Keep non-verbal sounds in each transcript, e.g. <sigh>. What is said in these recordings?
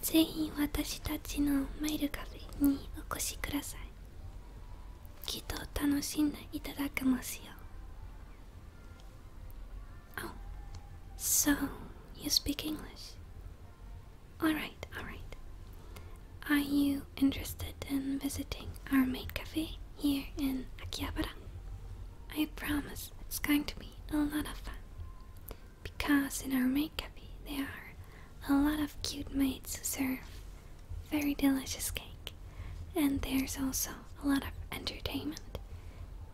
ぜひ、私たちのマイルカフェにお越しくださいきっと楽しんでいただけますよ Oh, so you speak English Alright, alright. Are you interested in visiting our maid cafe here in Akihabara? I promise it's going to be a lot of fun. Because in our maid cafe there are a lot of cute maids who serve very delicious cake. And there's also a lot of entertainment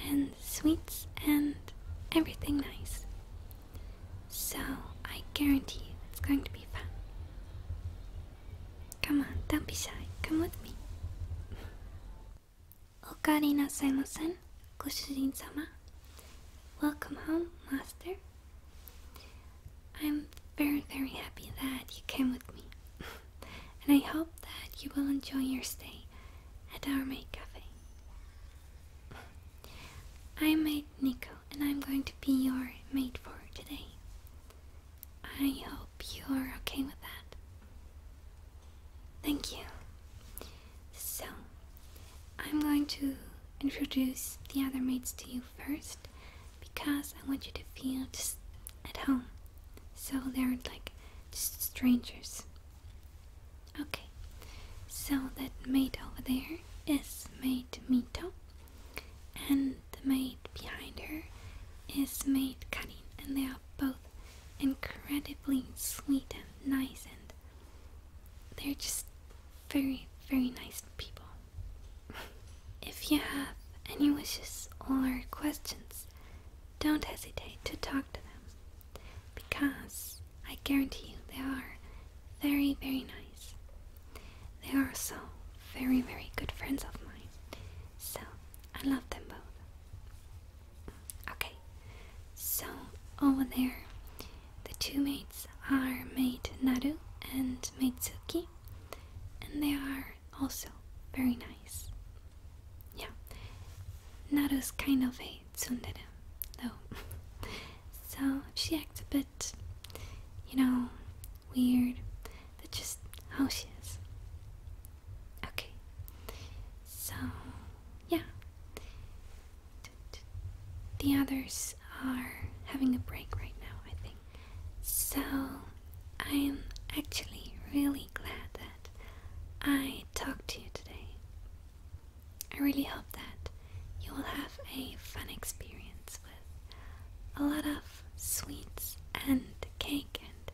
and sweets and everything nice. So I guarantee you it's going to be fun. Come on, don't be shy. Come with me. welcome home, master. I'm very, very happy that you came with me. and I hope that you will enjoy your stay at our maid cafe. I'm Maid Nico, and I'm going to be your maid for today. I hope you're okay with that. Thank you. So, I'm going to introduce the other maids to you first because I want you to feel just at home. So they're like just strangers. Okay, so that maid over there is maid Mito, and the maid behind her is maid Karin, and they are both incredibly sweet and nice, and they're just very, very nice people. <laughs> if you have any wishes or questions, don't hesitate to talk to them because I guarantee you they are very, very nice. They are also very, very good friends of mine. So, I love them both. Okay, so over there, the two mates are Mate Naru and Maid Tsuki, and they are also very nice. Yeah, Naru's kind of a so she acts a bit, you know, weird. But just how she is. Okay. So, yeah. The others are having a break right now, I think. So, I am actually really glad that I talked to you today. I really hope that you will have a fun experience with a lot of sweets and cake and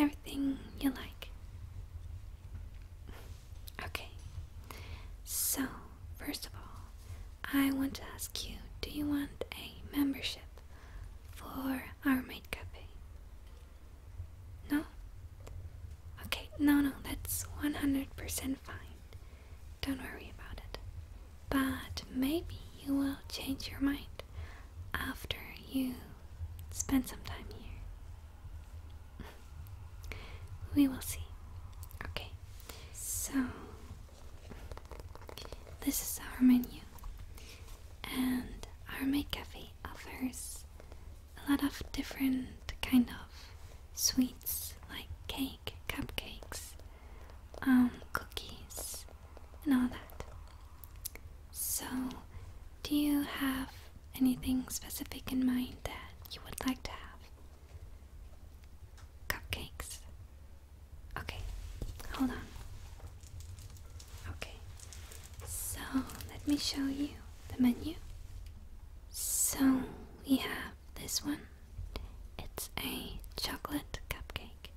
everything you like. Okay, so first of all, I want to ask you do you want a membership for our maid cafe? No? Okay, no, no, that's 100% fine. Don't worry about it. But maybe you will change your mind after you spend some time here. we will see. Okay, so this is our menu, and our maid cafe offers a lot of different kind of sweets like cake, cupcakes, um, cookies, and all that. So, do you have anything specific in mind that you would like to have? Cupcakes. Okay, hold on. Okay, so let me show you the menu. So we have this one. It's a chocolate cupcake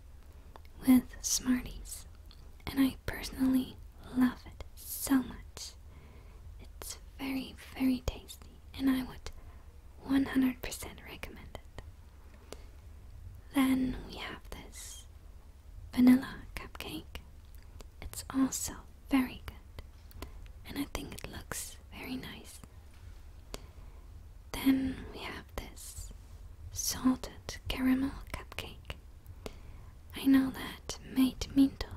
with Smarties, and I personally love it so much. It's very, very tasty, and I would 100% recommend it. Then we have this vanilla cupcake. It's also very good, and I think it looks very nice. Then we have this salted caramel cupcake. I know that Mate Minto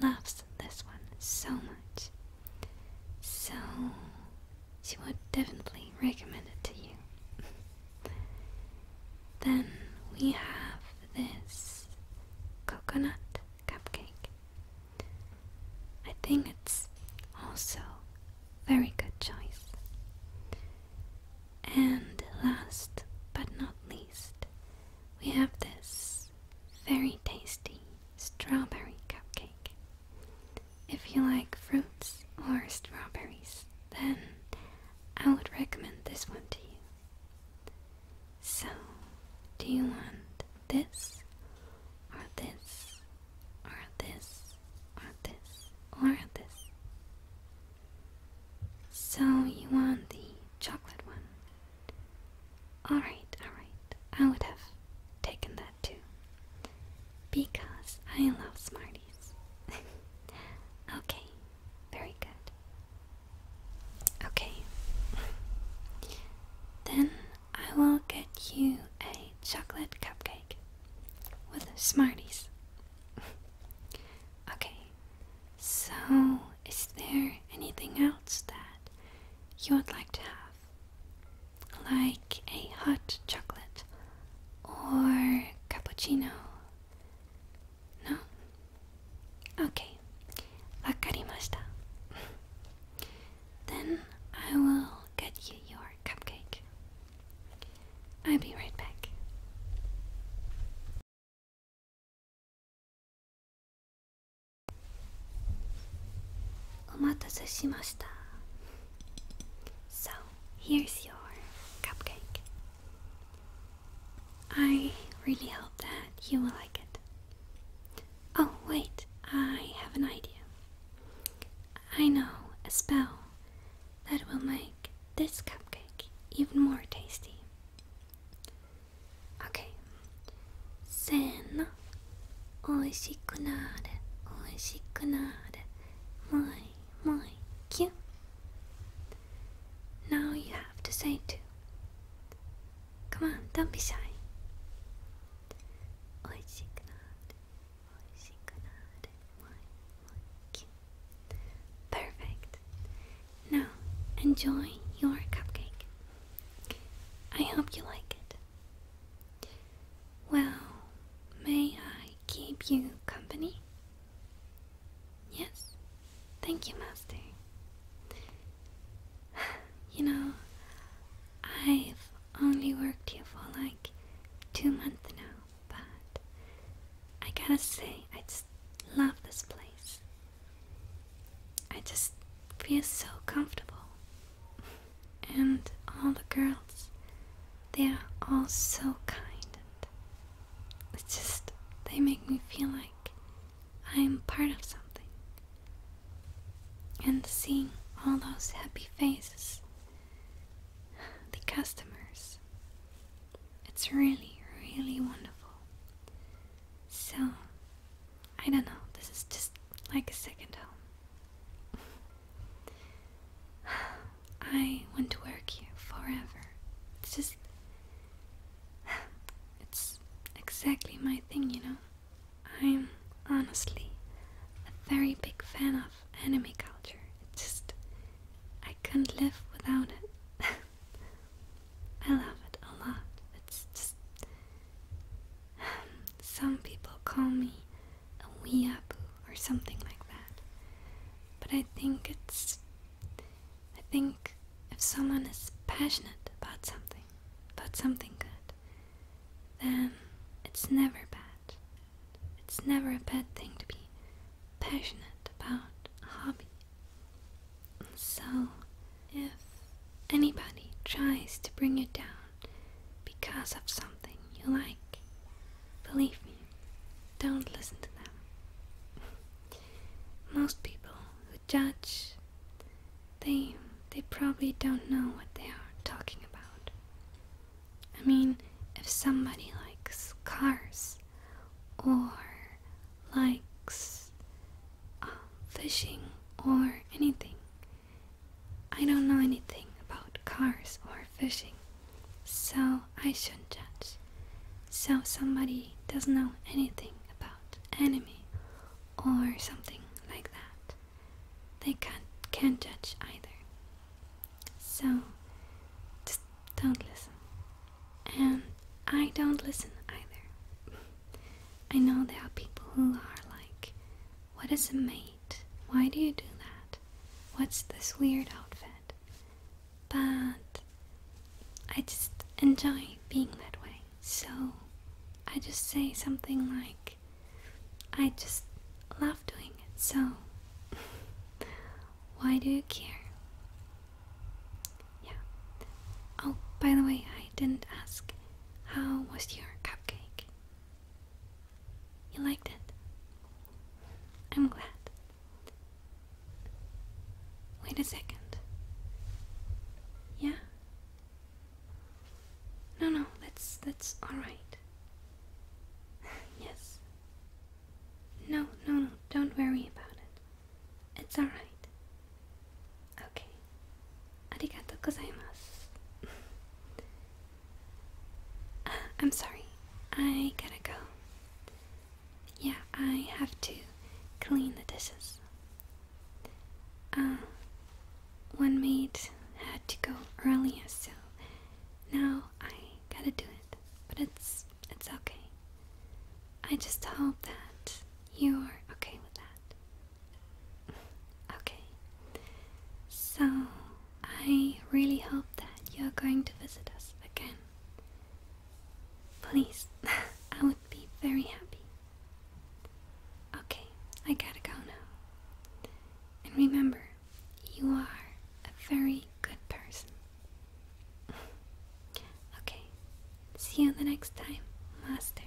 loves this one so much, so she would definitely recommend it to you. <laughs> Then we have this coconut cupcake. I think it's also very good choice. And last but not least, we have this very tasty strawberry cupcake. If you like fruits or strawberries, then I would recommend this one to you. So, do you want this, or this, or this, or this, or this? So, you want the chocolate one? Alright, alright, I would have taken that too. Because I love Smarties. <laughs> okay, very good. Okay. then I will get you a chocolate cupcake with Smarties. okay. So, is there anything else that you would like to have? Like a hot chocolate or cappuccino no? Okay. then I will get you your cupcake. I'll be right back. Omatase So, here's your cupcake. I really hope that you will like it. Oh, wait, I have an idea. I know a spell that will make this cupcake even more tasty. Okay. Sen oishikunare, oishikunare, moi Mike. Yeah. Now you have to say too. Come on, don't be shy. Perfect. Now, enjoy your cupcake. I hope you like it. Well, may I keep you company? Yes, thank you, Master. <sighs> You know, I've only worked here for like two months now, but I gotta say, I just love this place. I just feel so comfortable. And all the girls they are all so kind. And it's just, they make me feel like I am part of something. And seeing all those happy faces, the customers, it's really, really wonderful. So, I don't know, this is just like a second home. <laughs> I want to work here forever. It's just. It's exactly my thing, you know. I'm honestly a very big fan of anime culture. It just. I couldn't live without it. <laughs> I love it a lot. It's just. Some people call me a wee weeaboo or something like that. But I think it's. I think if someone is passionate about something, about something good, then it's never bad. It's never a bad thing to be passionate about a hobby. So, if anybody tries to bring you down because of something you like, believe me. Don't listen to them. Most people who judge, they they probably don't know what they are talking about. I mean, if somebody likes cars or likes uh, fishing or anything, I don't know anything about cars or fishing so I shouldn't judge. So somebody doesn't know anything about enemy, or something like that. They can't can't judge either. So just don't listen. And I don't listen either. <laughs> I know there are people who are like, what is a mate? Why do you do that? What's this weird outfit? But I just enjoy being that way. So I just say something like, I just love doing it. So <laughs> why do you care? Yeah. Oh, by the way, I didn't ask. How was your cupcake? You liked it. I'm glad. Wait a second. Yeah? No, no, that's that's all right. <laughs> yes. No, no, no, don't worry about it. It's all right. Okay. Arigato gozaimasu. <laughs> I'm sorry. I gotta go. Yeah, I have to clean the dishes. Uh, one maid had to go earlier, so now I gotta do it. But it's it's okay. I just hope that you're okay with that. <laughs> okay. So I really hope that you're going to visit us again. Please, <laughs> I would be very happy. Okay, I gotta go now. And remember, you are a very good person. <laughs> okay, see you the next time, Master.